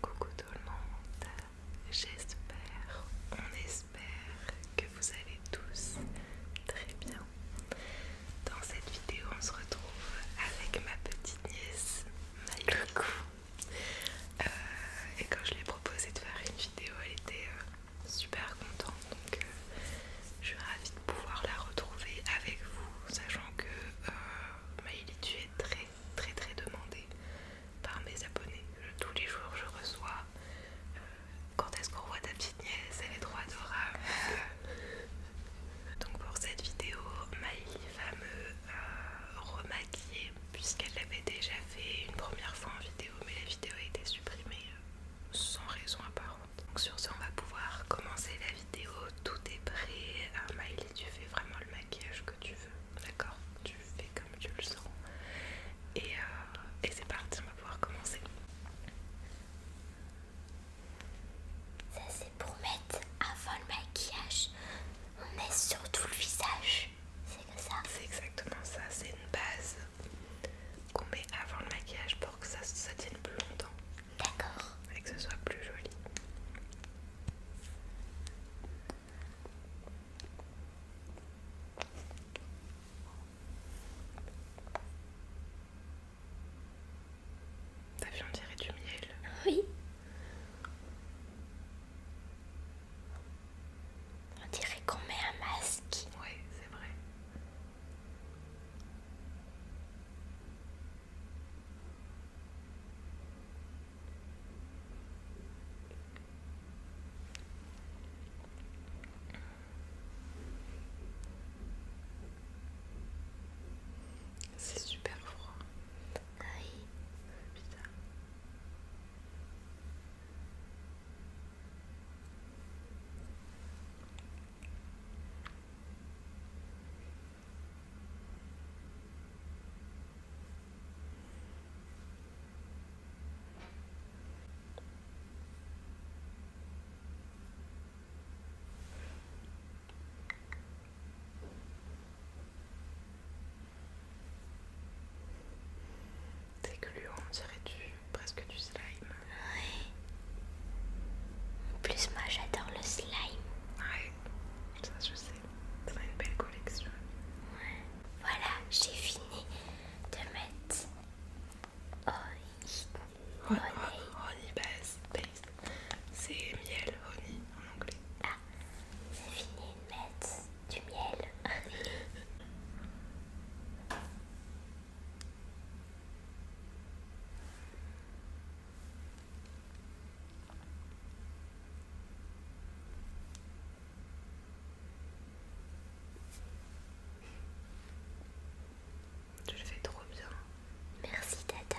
Coucou tout le monde, j'espère, on espère que vous allez tous très bien. Dans cette vidéo, on se retrouve avec ma petite nièce, Maïko. Euh, et quand je lui ai proposé de faire une vidéo, elle était euh, super contente. Donc, euh, je suis ravie de pouvoir la retrouver avec vous, sachant que euh, Maïli, tu très très très demandé par mes abonnés. tous les jours je reçois euh, quand est-ce qu'on voit ta petite nièce, elle est trop adorable. Donc pour cette vidéo, Miley fameux me euh, remaquiller puisqu'elle l'avait déjà fait une première fois en vidéo mais la vidéo a été supprimée euh, sans raison apparente. Donc sur ce on va pouvoir commencer la vidéo, tout est prêt. Miley, tu fais vraiment le maquillage que tu veux, d'accord Tu fais comme tu le sens. Euh, et, c'est parti, on va pouvoir commencer. Ça c'est pour mettre avant le maquillage, on met sur tout le visage. C'est ça C'est exactement ça, c'est une base qu'on met avant le maquillage pour que ça, ça tienne plus longtemps. D'accord. Et que ce soit plus joli. T'as vu, on dirait du miel. Oui. On dirait qu'on met un masque. Oui, c'est vrai. C'est super froid. Aïe, ah putain. C'est lui on dirait du, presque du slime. Ouais. En plus, moi j'adore le slime. Ça je sais. Ça va une belle collection. Voilà, j'ai fini de mettre honey. Honey, honey base, base. C'est miel, honey en anglais. Ah, j'ai fini de mettre du miel. Je le fais trop bien. Merci Tata.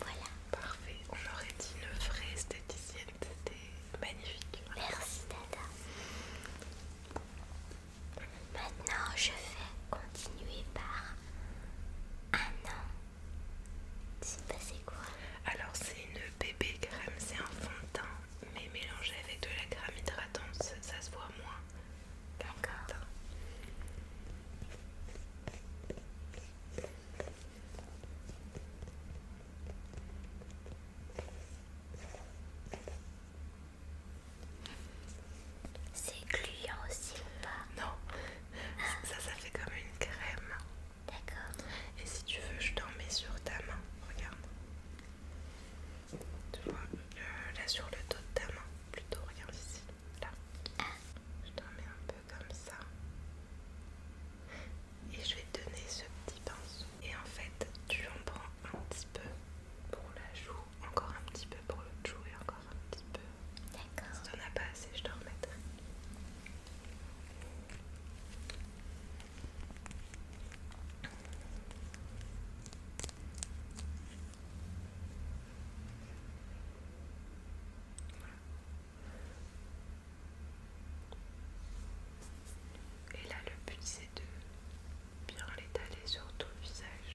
Voilà. Parfait. On aurait dit une vraie esthéticienne. C'était magnifique. Merci Tata. Maintenant, je vais continuer par un an. C'est quoi Alors, c'est une bébé crème, c'est un fond de teint, mais mélangé avec de la crème hydratante, ça se voit moins. D'accord. C'est gluant aussi pas Non, ah. ça, ça fait comme une crème. D'accord. Et si tu veux, je t'en mets sur ta main. Regarde. Tu vois, là sur le dos de ta main, plutôt regarde d'ici, là. Je t'en mets un peu comme ça. Et je vais te donner ce petit pinceau. Et en fait, tu en prends un petit peu pour la joue, encore un petit peu pour le joue et encore un petit peu. D'accord. Si t'en as pas assez, je te remettrai. Et là, le but c'est de bien l'étaler sur tout le visage.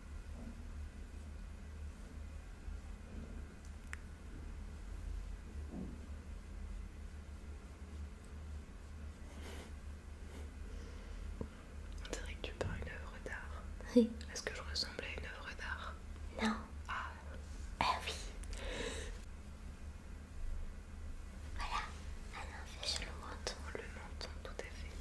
On dirait que tu peins une œuvre d'art. Oui. Est-ce que je ressemble à une œuvre d'art Non. Ah. ah. oui. Voilà. Ah non, fais le menton. Le menton, tout à fait.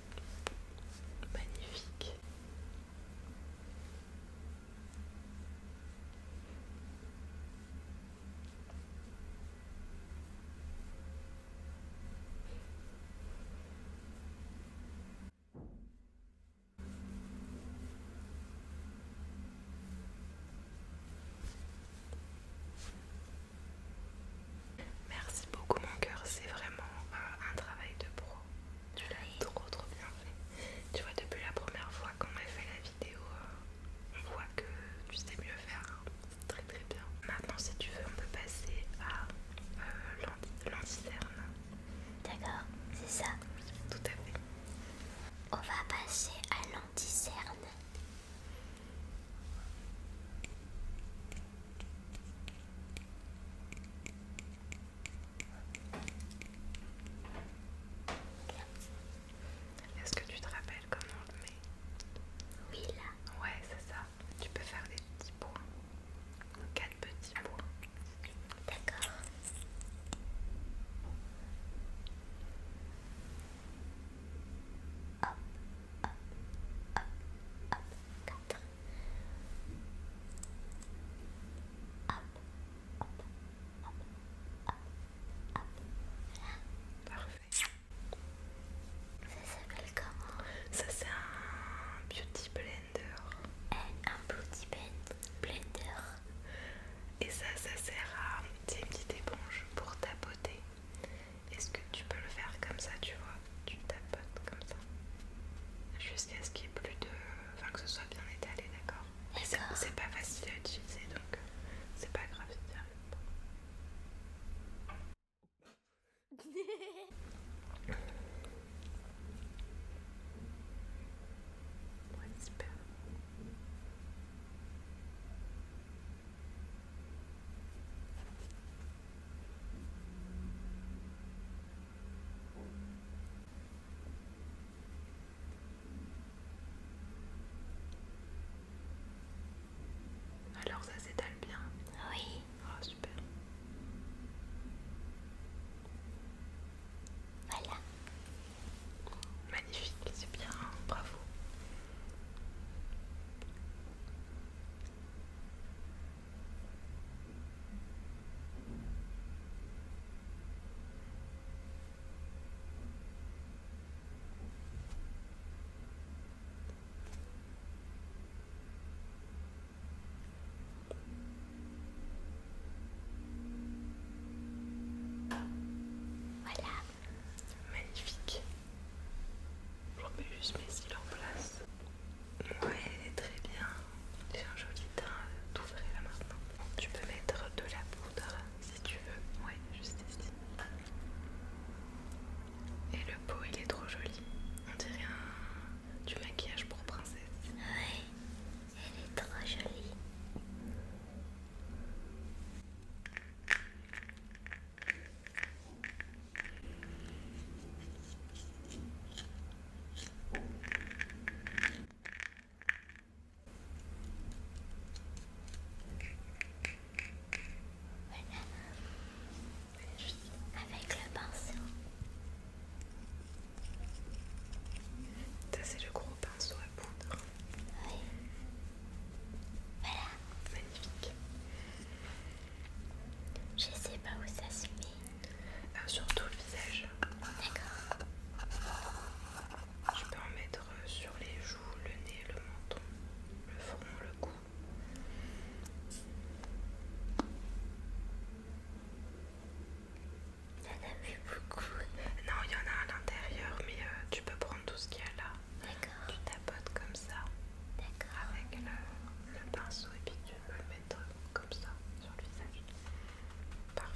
Magnifique. Merci beaucoup mon cœur, c'est vraiment euh, un travail de pro. Tu l'as trop trop bien fait. Tu vois depuis la première fois qu'on a fait la vidéo, euh, on voit que tu sais mieux faire. Hein. C'est très très bien. Maintenant si tu veux on peut passer à euh, l'anticerne. D'accord, c'est ça. tout à fait. On va passer à l'anticerne. Est-ce que tu te rappelles comment on le met Oui, là. Ouais, c'est ça. Tu peux faire des petits points. Quatre petits points. D'accord hop, hop, Hop, hop, hop, hop, hop, Parfait. Ça s'appelle comment Ça c'est un beauty blender. Un, un beauty blender. Et ça, ça sert à... C'est une petite éponge pour tapoter. Est-ce que tu peux le faire comme ça, tu vois Tu tapotes comme ça. Jusqu'à ce qu'il y ait plus de... Enfin, que ce soit bien étalé, d'accord Mais c'est pas facile à utiliser, donc euh, c'est pas grave si tu pas. Alors ça s'étale bien Oui. Ah super. Voilà. Magnifique, c'est bien, hein, bravo. Voilà, magnifique. Je remets juste mes cils en place. Ouais, très bien. J'ai un joli teint euh, tout là maintenant. Tu peux mettre de la poudre si tu veux. Ouais, juste ici. Et le pot, il est trop joli. On dirait un... du maquillage pour princesse. Ouais, il est trop jolie avec le pinceau. Ça c'est le gros pinceau à poudre. Voilà, magnifique. Je sais pas où ça se met. le euh, visage. D'accord. Je peux en mettre euh, sur les joues, le nez, le menton, le front, le cou. Il y en a plus beaucoup. Non, il y en a à l'intérieur, mais euh, tu peux prendre tout ce qu'il y a là. Tu tapotes comme ça avec le, pinceau et puis tu peux le mettre comme ça sur le visage. Parfait.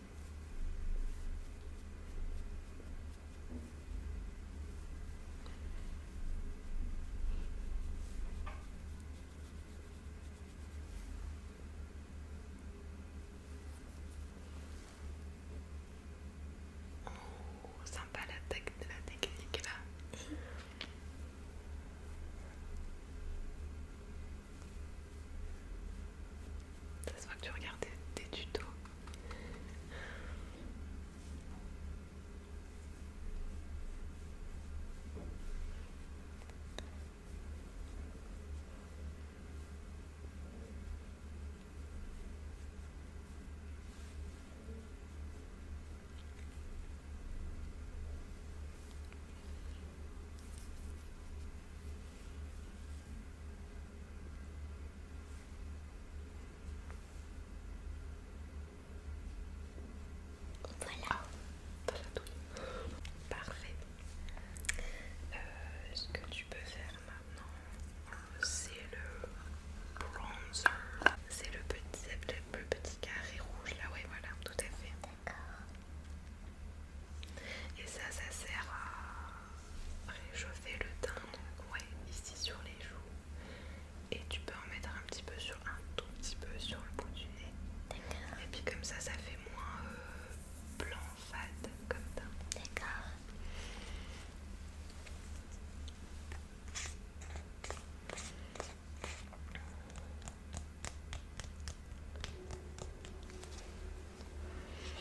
Oh, sympa la, de la technique là. Ça se voit que tu regardes des, des tutos. Voilà. Ah, t'as Parfait. Euh, ce que tu peux faire maintenant, c'est le bronzer. C'est le petit, petit carré rouge là, ouais, voilà, tout à fait. Et ça, ça sert à réchauffer le teint, donc ouais, ici sur les joues. Et tu peux en mettre un petit peu sur un tout petit peu sur le bout du nez. Et puis comme ça, ça fait moins euh, blanc fade comme teint. D'accord.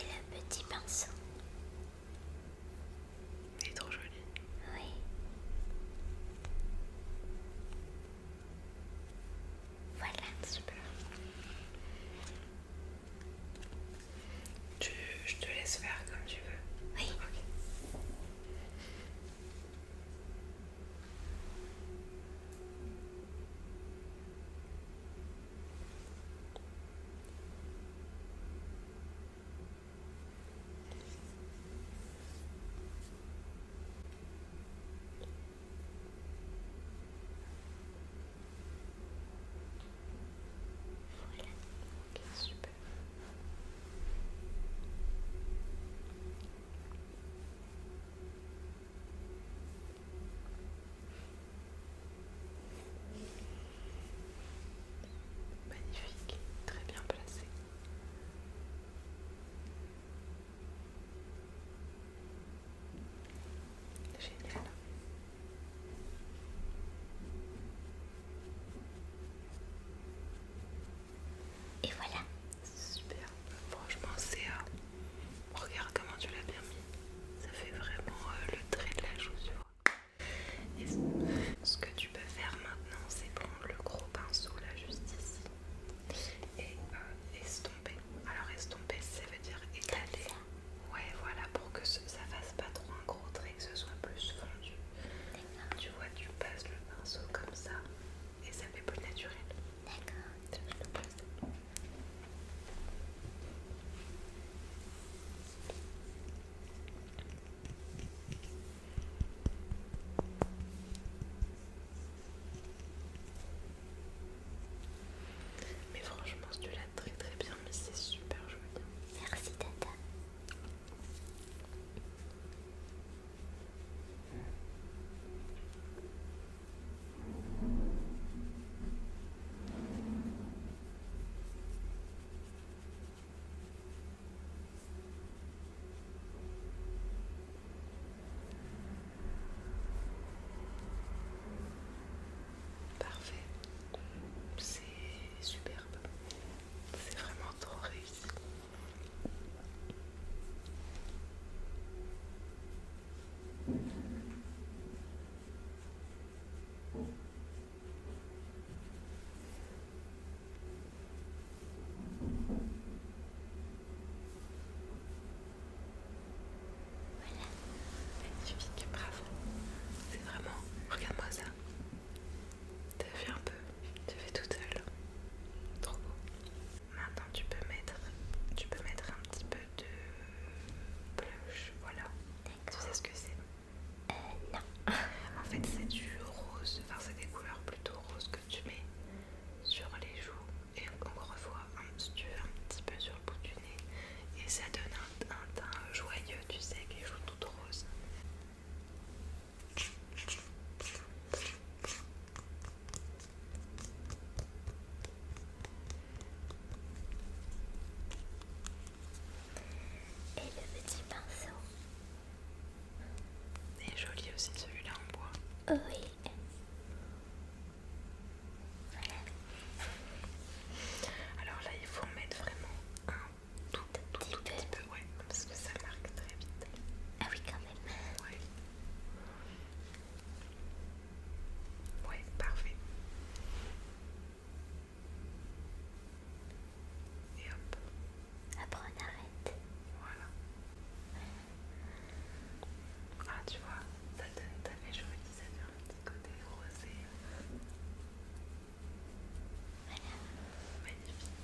Et le petit pinceau. Il est trop joli. Oui. Voilà, super. Tu, je te laisse faire comme tu veux. Oui. Voilà, ok, super. Magnifique, très bien placé. Génial. Et voilà. Super. Franchement, c'est... Euh, regarde comment tu l'as bien mis. Ça fait vraiment euh, le trait de la chaussure. Et ce que tu peux faire maintenant, c'est prendre le gros pinceau là, juste ici, et euh, estomper. Alors estomper, ça veut dire étaler. Ouais, voilà, pour que ça fasse pas trop un gros trait, que ce soit plus fondu. Tu vois, tu passes le pinceau comme ça, et ça fait plus naturel. D'accord. Mais franchement, tu l'as très très bien mais c'est super joli. Merci Tata. Parfait, c'est superbe, c'est vraiment trop réussi magnifique, bravo. C'est vraiment, regarde-moi ça. T'as fait un peu, tu fais tout seule. Trop beau. Maintenant tu peux mettre, tu peux mettre un petit peu de blush, voilà. Tu sais ce que c'est Non. en fait c'est du rose, enfin c'est des couleurs plutôt roses que tu mets sur les joues et encore une fois, tu veux, un petit peu sur le bout du nez et ça donne un, teint joyeux, tu sais, qui les joues rose. Et le petit pinceau. Il est joli aussi celui-là en bois. oui. Alors là, il faut en mettre vraiment un tout, petit, peu, ouais, parce que ça marque très vite. Ah oui, quand même. Ouais, parfait. Et hop. Après on arrête. Voilà. Ah tu vois, ça donne, ça fait ça donne un petit côté rosé. Voilà. Magnifique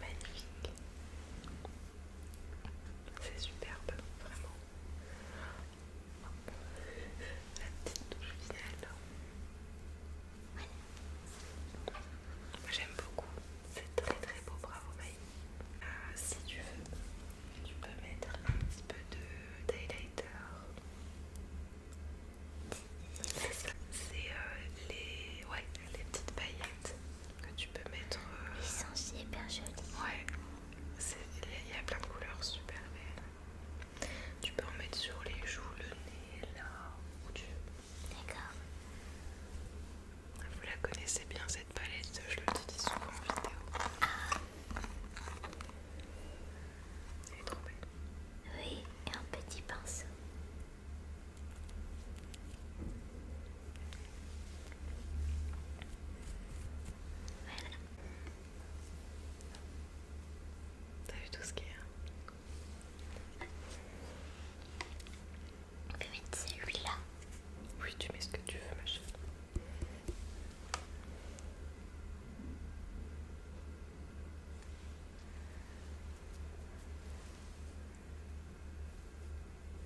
magnifique. C'est superbe, vraiment. La petite douche finale. J'aime beaucoup, c'est très très beau, bravo Maï. Euh, si tu veux, tu peux mettre un petit peu de highlighter. C'est euh, les, les petites paillettes que tu peux mettre. Ils euh, sont super jolis. Ouais, il y a plein de couleurs super belles. Tu peux en mettre sur les joues, le nez, là, où tu veux. D'accord. Vous la connaissez bien cette palette, je le dis souvent en vidéo. Ah. Elle est trop belle. Oui, et un petit pinceau. Voilà. T'as vu tout ce qu'il y a on peut mettre celui-là. Oui, tu mets ce que tu veux, ma chérie.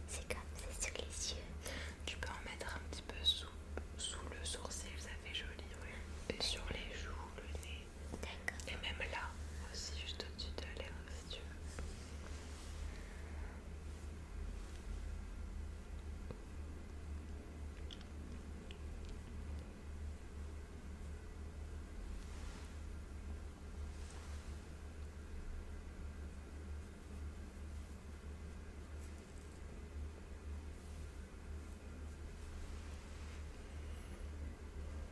C'est comme, c'est sur les yeux. Tu peux en mettre un petit peu sous, sous le sourcil, ça fait joli, oui. Et sur les joues, le nez. Et même là, aussi juste au-dessus de l'air si tu veux.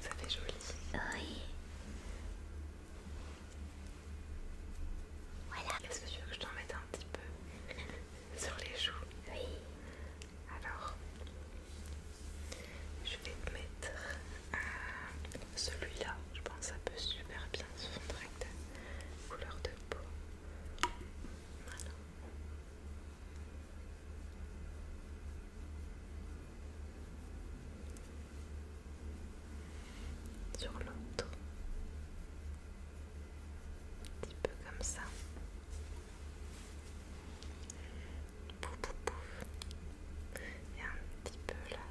Ça fait joli. Oui. Voilà. Est-ce que tu veux que je t'en mette un petit peu sur les joues Oui. Alors, je vais mettre celui-là. Je pense que ça peut super bien se fondre avec couleur de peau. Voilà sur l'autre, un petit peu comme ça. Pouf, pouf, pouf. Et un petit peu là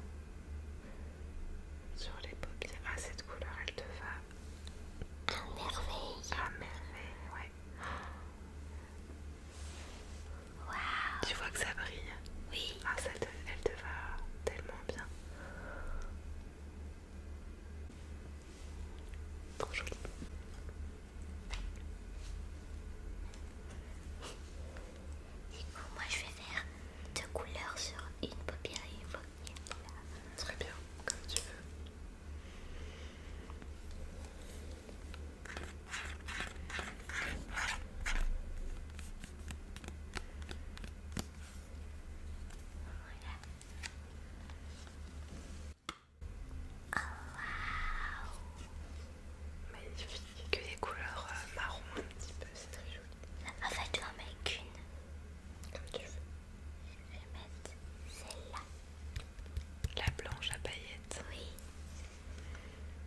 sur les paupières. Ah, cette couleur elle te va à merveille! merveille, ouais! Tu vois que ça brille? Oui! Ah, elle te va tellement vraiment bien. Du coup, moi je vais faire deux couleurs sur une paupière et une paupière. Très bien, comme tu veux. Magnifique, que des couleurs euh, marron un petit peu, c'est très joli. En fait, tu en mets qu'une. Comme tu veux. Je vais mettre celle-là. La blanche à paillettes. Oui.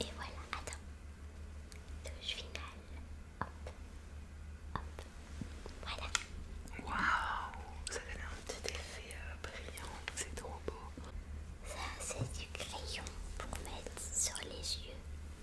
Et voilà, attends. Touche finale. Hop. Hop. Voilà. Waouh Ça donne un petit effet euh, brillant. C'est trop beau. Ça, c'est du crayon pour mettre sur les yeux.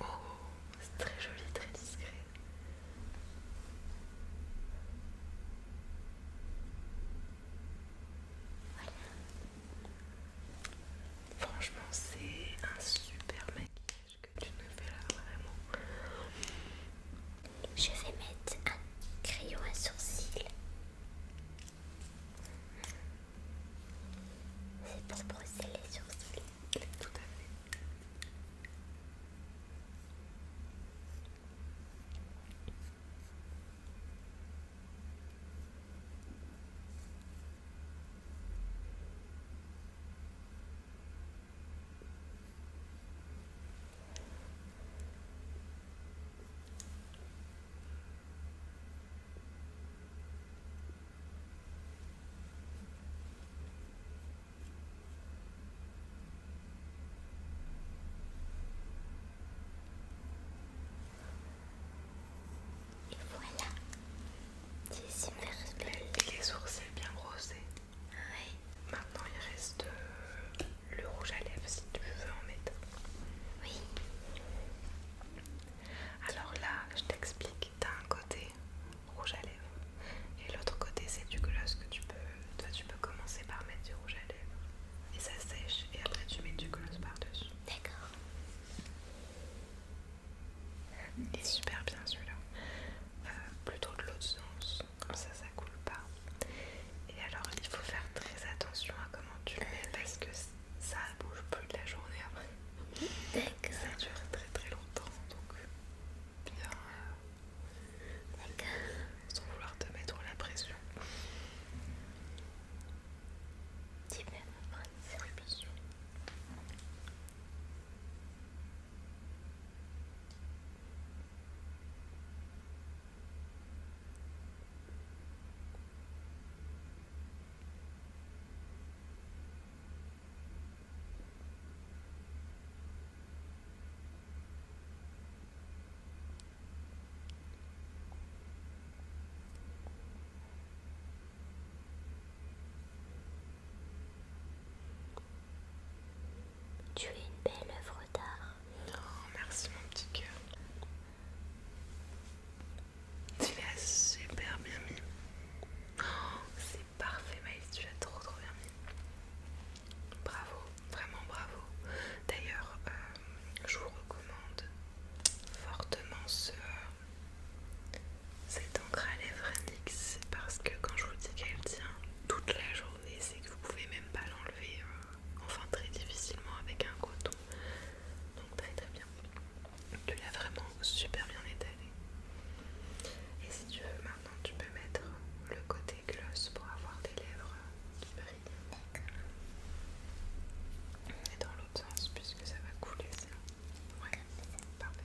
Oh, c'est très joli, très discret. Voilà. Franchement, c'est un super maquillage que tu nous fais là, vraiment. Je vais mettre un crayon à sourcils c'est pour brosser les sourcils. Et voilà, c'est super belle. Et les sourcils bien rosés. Oui. Maintenant, il reste euh, le rouge à lèvres si tu veux en mettre. Oui. Alors là, je t'explique, t'as un côté rouge à lèvres et l'autre côté c'est du gloss que tu peux, tu peux commencer par mettre du rouge à lèvres et ça sèche et après tu mets du gloss par dessus. D'accord. Il est super bien celui-là. Euh, plutôt de l'autre sens, comme ça ça coule pas. Et alors il faut faire très attention à comment tu le mets parce que ça bouge plus de la journée après. Ça dure très très longtemps donc bien. Euh, sans vouloir te mettre la pression. Tu tu es une belle œuvre d'art. Oh, merci mon petit cœur. Tu l'as super bien mis. Oh, c'est parfait Maïs, tu l'as trop trop bien mis. Bravo, vraiment bravo. D'ailleurs, euh, je vous recommande fortement ce, cette encre à lèvres NYX parce que quand je vous dis qu'elle tient toute la journée, c'est que vous pouvez même pas l'enlever, euh, enfin très difficilement avec un coton. Donc très très bien. Tu l'as vraiment super bien étalé. Et si tu veux, maintenant tu peux mettre le côté gloss pour avoir des lèvres qui brillent. Et dans l'autre sens, puisque ça va couler ça. Ouais, parfait.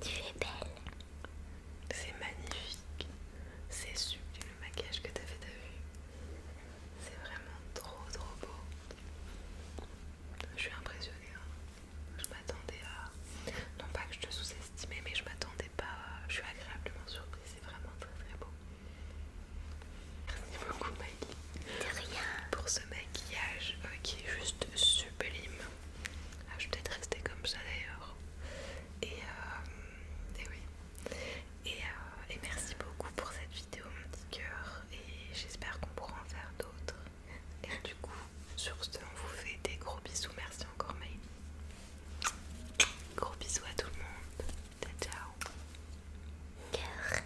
Tu es belle. C'est magnifique. C'est sublime le maquillage que t'as fait, t'as vu C'est vraiment trop trop beau. Je suis impressionnée. Hein. Je m'attendais à... Non pas que je te sous-estimais, mais je m'attendais pas... Je suis agréablement surprise. C'est vraiment très très beau. Merci beaucoup Maggie. rien. Pour ce maquillage euh, qui est juste sublime. Ah, je vais peut-être rester comme ça d'ailleurs. Et, euh, et oui. Euh, et, merci beaucoup pour cette vidéo mon petit cœur. Et j'espère qu'on pourra en faire d'autres. Et du coup, sur ce, on vous fait des gros bisous. Merci encore Maïli. Gros bisous à tout le monde. Ciao ciao. Cœur.